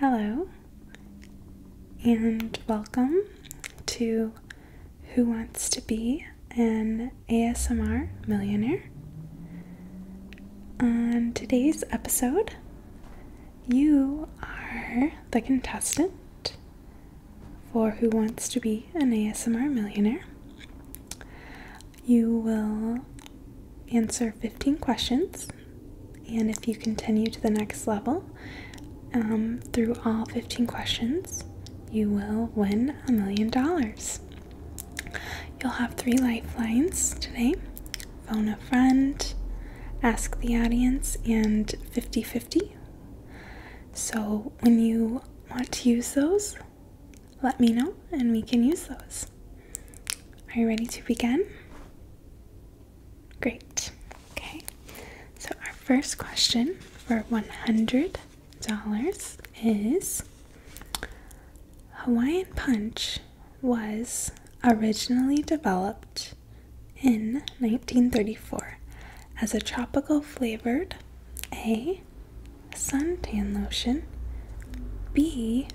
Hello, and welcome to Who Wants to Be an ASMR Millionaire? On today's episode, you are the contestant for Who Wants to Be an ASMR Millionaire. You will answer 15 questions, and if you continue to the next level um, through all 15 questions, you will win a million dollars. You'll have three lifelines today phone a friend, ask the audience, and 50 50. So when you want to use those, let me know and we can use those. Are you ready to begin? Great. Okay. So our first question for $100 is Hawaiian Punch was originally developed in 1934 as a tropical flavored A. sun tan lotion, B.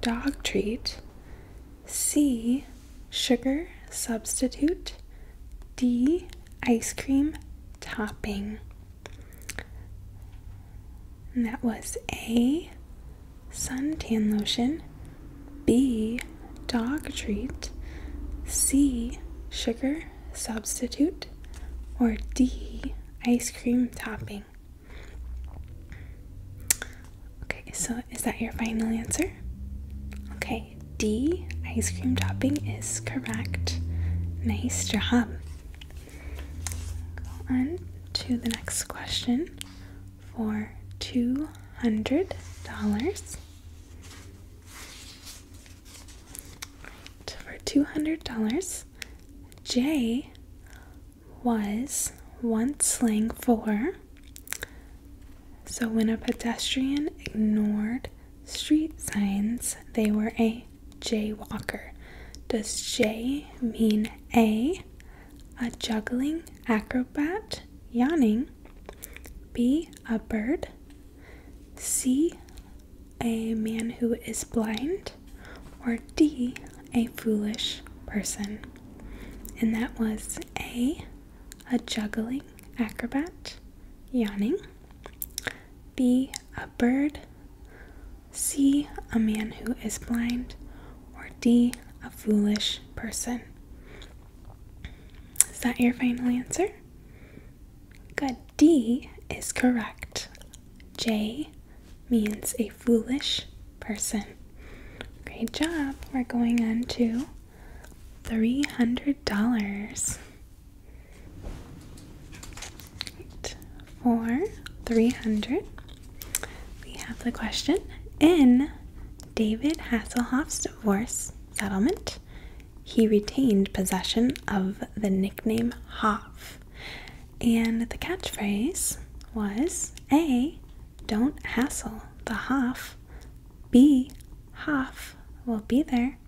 Dog treat, C. Sugar substitute. D. Ice cream topping. that was A. Suntan lotion. B. Dog treat. C. Sugar substitute. Or D. Ice cream topping. Okay, so is that your final answer? Okay, D, ice cream topping, is correct. Nice job. Go on to the next question for $200. For $200, J was once slang for so when a pedestrian ignored street signs, they were a jaywalker. Does J mean A, a juggling acrobat yawning, B, a bird, C, a man who is blind, or D, a foolish person? And that was A, a juggling acrobat, yawning, B, a bird, C, a man who is blind, or D, a foolish person. Is that your final answer? Good. D is correct. J means a foolish person. Great job. We're going on to $300. Right. For 300, we have the question in David Hasselhoff's divorce settlement, he retained possession of the nickname Hoff. And the catchphrase was A, don't hassle the Hoff. B, Hoff will be there.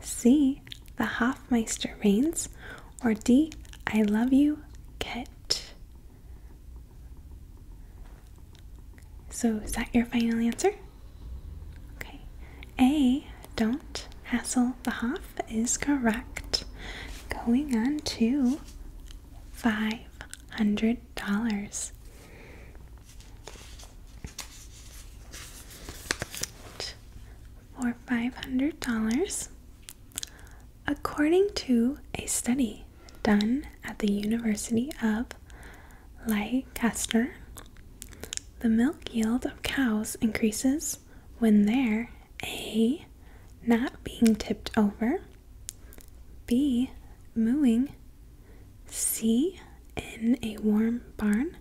C, the Hoffmeister reigns. Or D, I love you, Kit. So is that your final answer? Okay. A, don't hassle the Hoff is correct. Going on to $500. For $500, according to a study done at the University of Leicester, the milk yield of cows increases when there. A. Not being tipped over. B. Mooing. C. In a warm barn.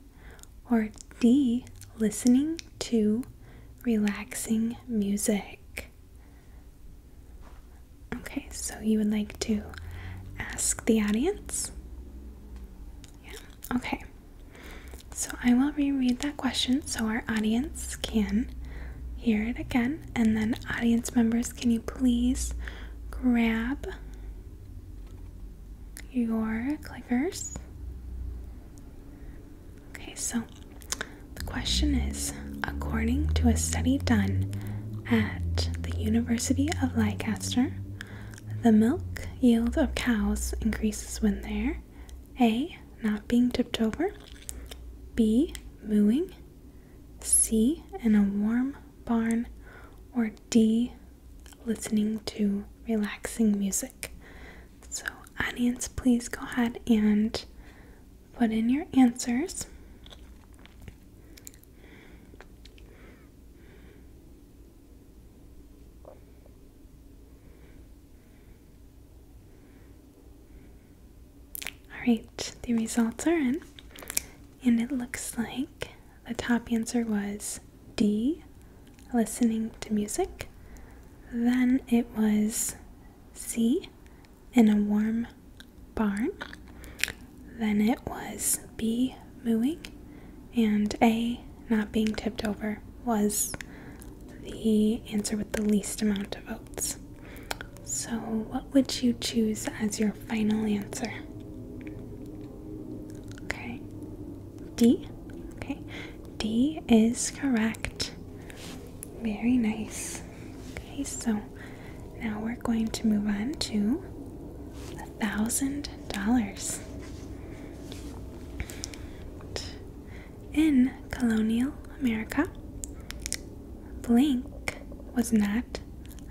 Or D. Listening to relaxing music. Okay, so you would like to ask the audience? Yeah, okay. So I will reread that question so our audience can hear it again. And then, audience members, can you please grab your clickers? Okay, so the question is according to a study done at the University of Leicester, the milk yield of cows increases when their a. Not being tipped over. B. Mooing. C. In a warm barn. Or D. Listening to relaxing music. So, audience, please go ahead and put in your answers. Alright, the results are in, and it looks like the top answer was D, listening to music. Then it was C, in a warm barn. Then it was B, mooing. And A, not being tipped over was the answer with the least amount of votes. So, what would you choose as your final answer? Okay, D. Okay, D is correct. Very nice. Okay, so now we're going to move on to a thousand dollars. In colonial America, blank was not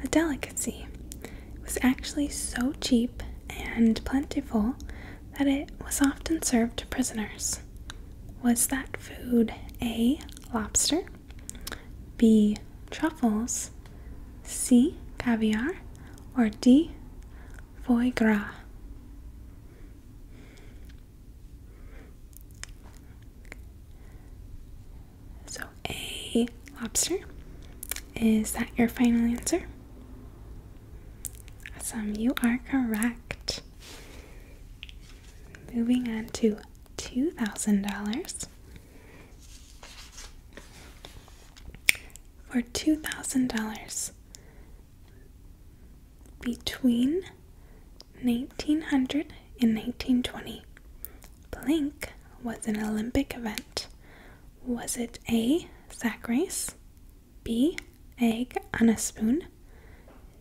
a delicacy. It was actually so cheap and plentiful that it was often served to prisoners. Was that food A. Lobster, B. Truffles, C. Caviar, or D. Foie gras? So, a lobster. Is that your final answer? Awesome, you are correct. Moving on to $2,000. For $2,000, between 1900 and 1920, Blink was an Olympic event. Was it A. Sack race, B. Egg on a spoon,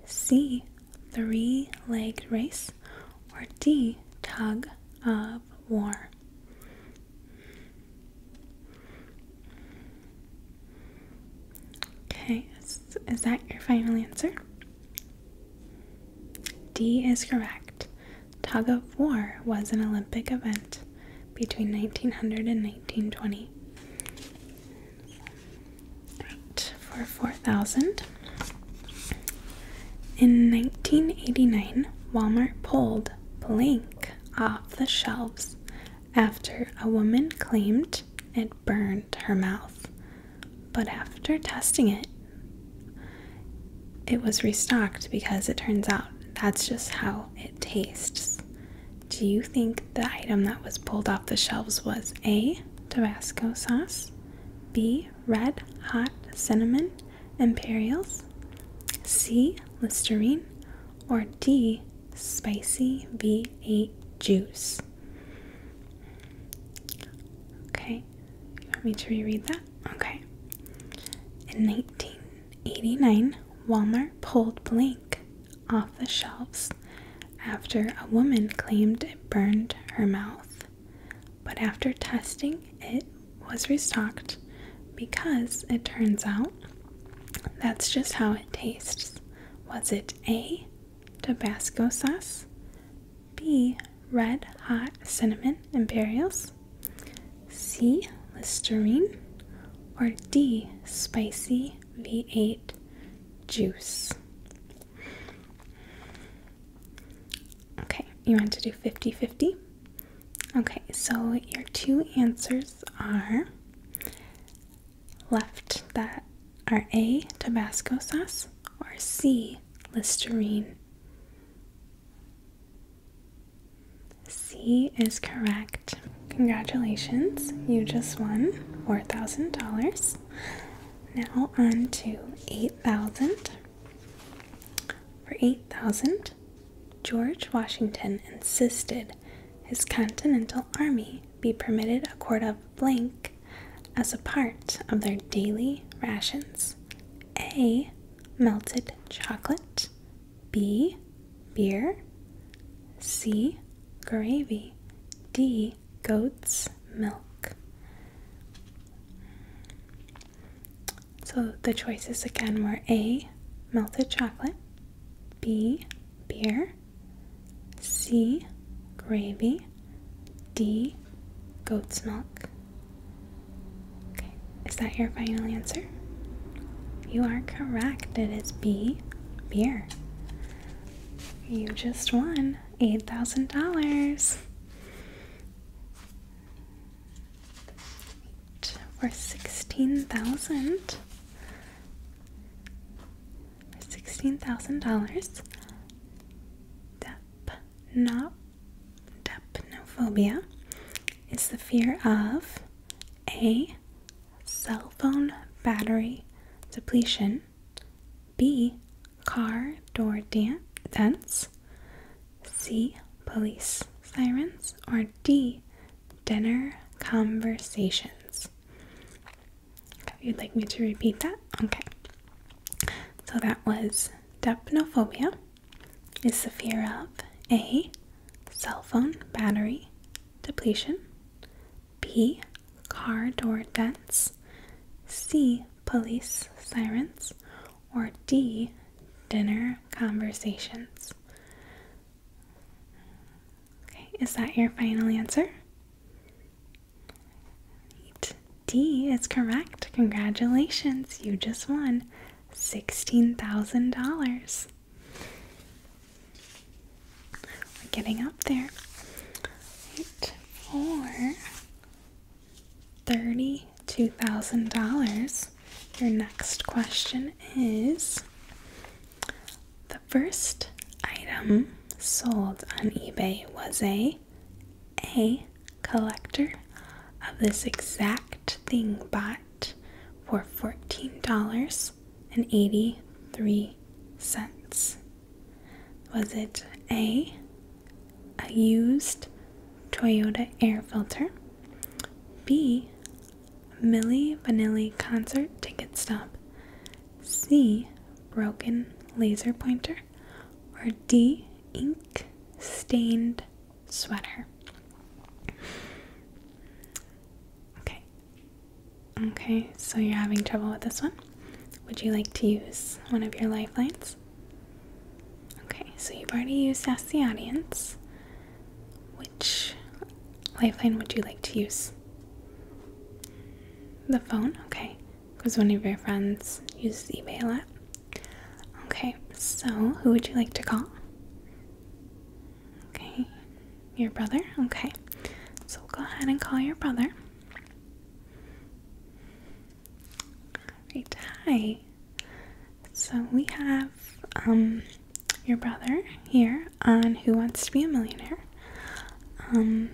C. Three legged race, or D. Tug of war? Okay, is, that your final answer? D is correct. Tug of war was an Olympic event between 1900 and 1920. Right, for 4,000. In 1989, Walmart pulled blank off the shelves after a woman claimed it burned her mouth. But after testing it, it was restocked because it turns out that's just how it tastes. Do you think the item that was pulled off the shelves was A, Tabasco sauce, B, red hot cinnamon imperials, C, Listerine, or D, spicy V8 juice? Okay, you want me to reread that? Okay. In 1989, Walmart pulled Blink off the shelves after a woman claimed it burned her mouth. But after testing, it was restocked because it turns out that's just how it tastes. Was it A, Tabasco sauce? B, red hot cinnamon and berries, C, Listerine? Or D, spicy V8 juice? Okay, you want to do 50 50? Okay, so your two answers are left that are A, Tabasco sauce, or C, Listerine? C is correct. Congratulations, you just won $4,000. Now on to 8000 For 8000 George Washington insisted his Continental Army be permitted a quart of blank as a part of their daily rations. A. Melted chocolate. B. Beer. C. Gravy. D. Goat's milk. So the choices again were A, melted chocolate, B, beer, C, gravy, D, goat's milk. Okay, is that your final answer? You are correct. It is B, beer. You just won $8,000 for sixteen thousand for sixteen thousand dollars. Depno depnophobia is the fear of a cell phone battery depletion, b car door dan dents, c police sirens, or d dinner conversations. You'd like me to repeat that? Okay. So that was dapnophobia is the fear of A, cell phone battery depletion, B, car door dents, C, police sirens, or D, dinner conversations. Okay, is that your final answer? Right. D is correct. Congratulations, you just won $16,000. We're getting up there. Eight four thirty. $2,000. Your next question is The first item sold on eBay was a A collector of this exact thing bought for $14.83. Was it A, a used Toyota air filter, B, Milli Vanilli concert ticket stub. C. Broken laser pointer. Or D. Ink stained sweater. Okay. Okay, so you're having trouble with this one. Would you like to use one of your lifelines? Okay, so you've already used Ask the Audience. Which lifeline would you like to use? The phone? Okay, because one of your friends uses eBay a lot. Okay, so who would you like to call? Okay, your brother? Okay, so go ahead and call your brother. hi. So we have um, your brother here on Who Wants to Be a Millionaire. Um,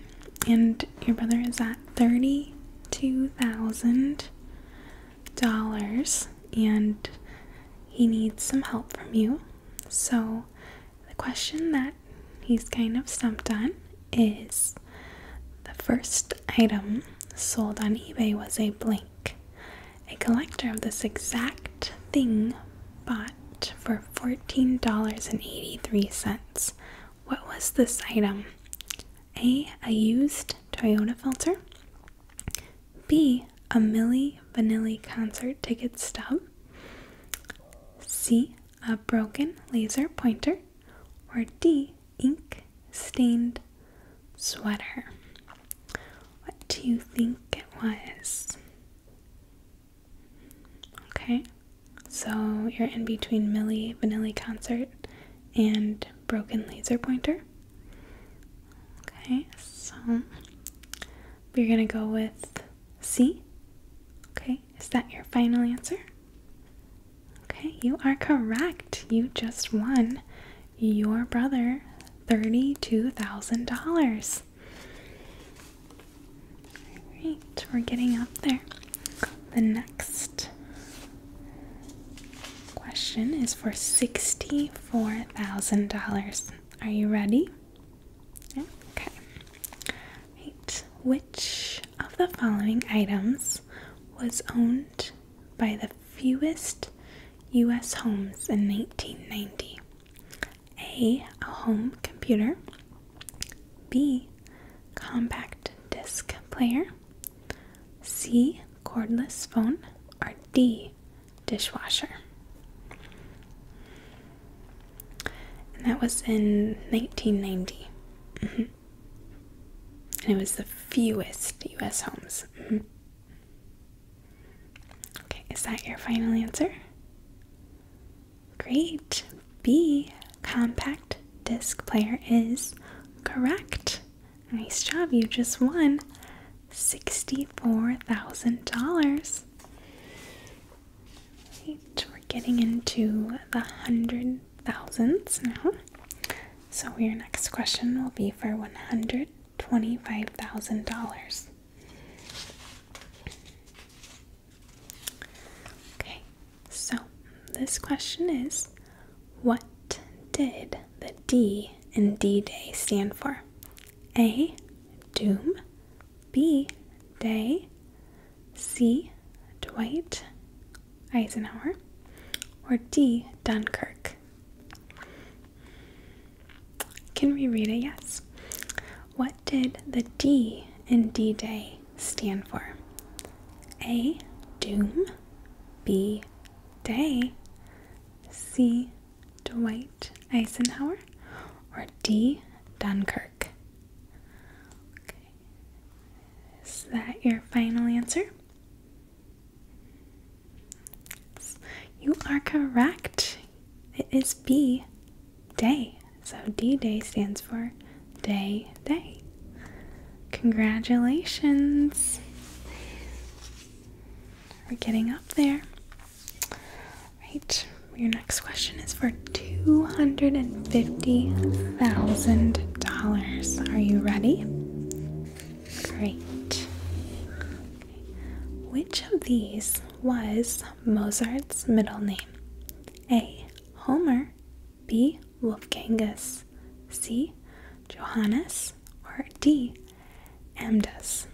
and your brother is at $32,000 and he needs some help from you. So the question that he's kind of stumped on is the first item sold on eBay was a blank a collector of this exact thing bought for $14.83. What was this item? A. A used Toyota filter. B. A Milli Vanilli concert ticket stub. C. A broken laser pointer. Or D. Ink stained sweater. What do you think it was? Okay, so you're in between Millie Vanilli Concert and Broken Laser Pointer. Okay, so you're gonna go with C. Okay, is that your final answer? Okay, you are correct. You just won your brother $32,000. Alright, we're getting up there. The next question is for $64,000. Are you ready? Okay. Right. Which of the following items was owned by the fewest U.S. homes in 1990? A. A home computer. B. Compact disc player. C. Cordless phone. Or D. Dishwasher. And that was in 1990. Mm-hmm. And it was the fewest U.S. homes. Mm-hmm. Okay, is that your final answer? Great. B, compact disc player is correct. Nice job. You just won $64,000. we're getting into the hundred thousands now. So your next question will be for $125,000. Okay, so this question is what did the D in D Day stand for? A. Doom. B. Day. C. Dwight Eisenhower. Or D. Dunkirk. Can we read it? Yes. What did the D in D Day stand for? A. Doom. B. Day. C. Dwight Eisenhower. Or D. Dunkirk. Is that your final answer? You are correct. It is B, day. So D day stands for day, day. Congratulations. We're getting up there. Right. Your next question is for $250,000. Are you ready? Great. Which of these was Mozart's middle name? A. Homer, B. Wolfgangus, C. Johannes, or D. Amdas?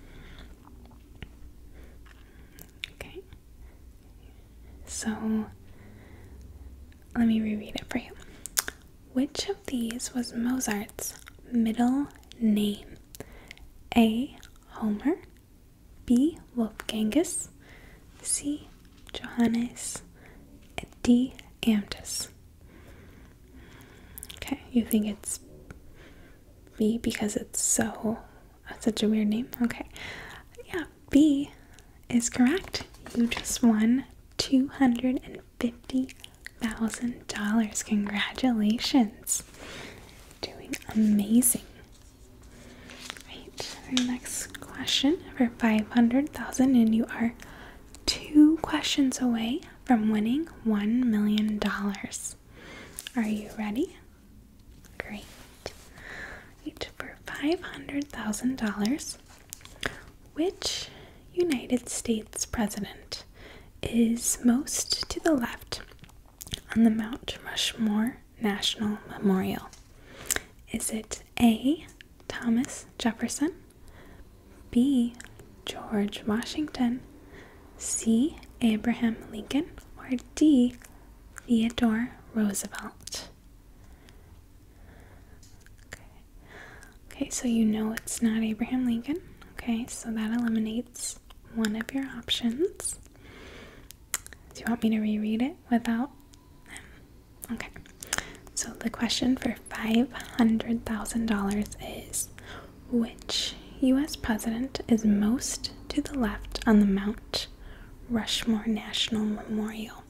Okay. So let me reread it for you. Which of these was Mozart's middle name? A. Homer, B. Wolfgangus, C. Johannes, D. Amtus. Okay, you think it's B because it's so such a weird name. Okay, yeah, B is correct. You just won two hundred and $50,000. Congratulations. Doing amazing. Right, our next question for 500,000 and you are two questions away from winning $1 million. Are you ready? Great. Right, for $500,000, which United States president is most to the left on the Mount Rushmore National Memorial? Is it A. Thomas Jefferson, B. George Washington, C. Abraham Lincoln, or D. Theodore Roosevelt? Okay. Okay, so you know it's not Abraham Lincoln. Okay, so that eliminates one of your options. Do you want me to reread it without Okay. So the question for $500,000 is which US president is most to the left on the Mount Rushmore National Memorial?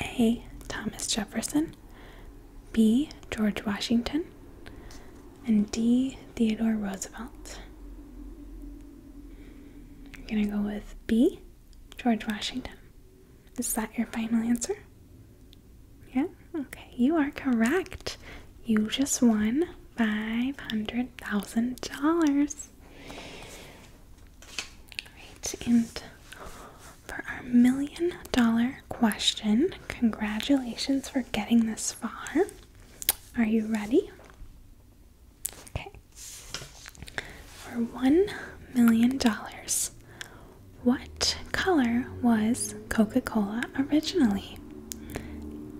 A. Thomas Jefferson, B. George Washington, and D. Theodore Roosevelt. You're going to go with B. George Washington. Is that your final answer? Yeah? Okay, you are correct. You just won $500,000. Right, and for our million dollar question. Congratulations for getting this far. Are you ready? Okay. For one million dollars, what color was Coca Cola originally?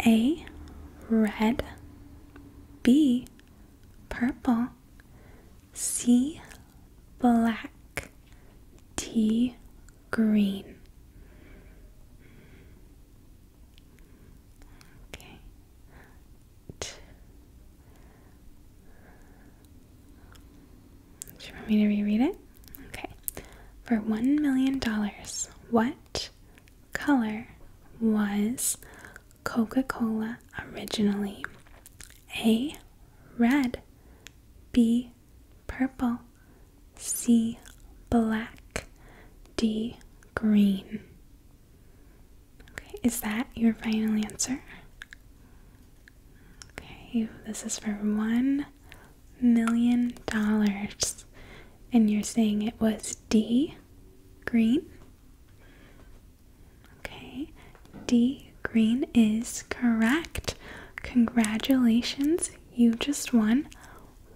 A. Red. B. Purple. C black, T green. Okay. T. Do you want me to reread it? Okay. For one million dollars, what color was Coca Cola originally? A. Red. B. Purple. C. Black. D. Green. Okay, is that your final answer? Okay, this is for one million dollars. And you're saying it was D. Green? Okay, D green is correct. Congratulations, you just won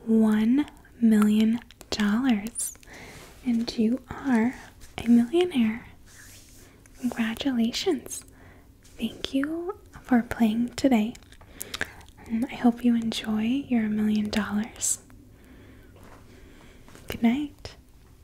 one million dollars, and you are a millionaire. Congratulations! Thank you for playing today. I hope you enjoy your million dollars. Good night.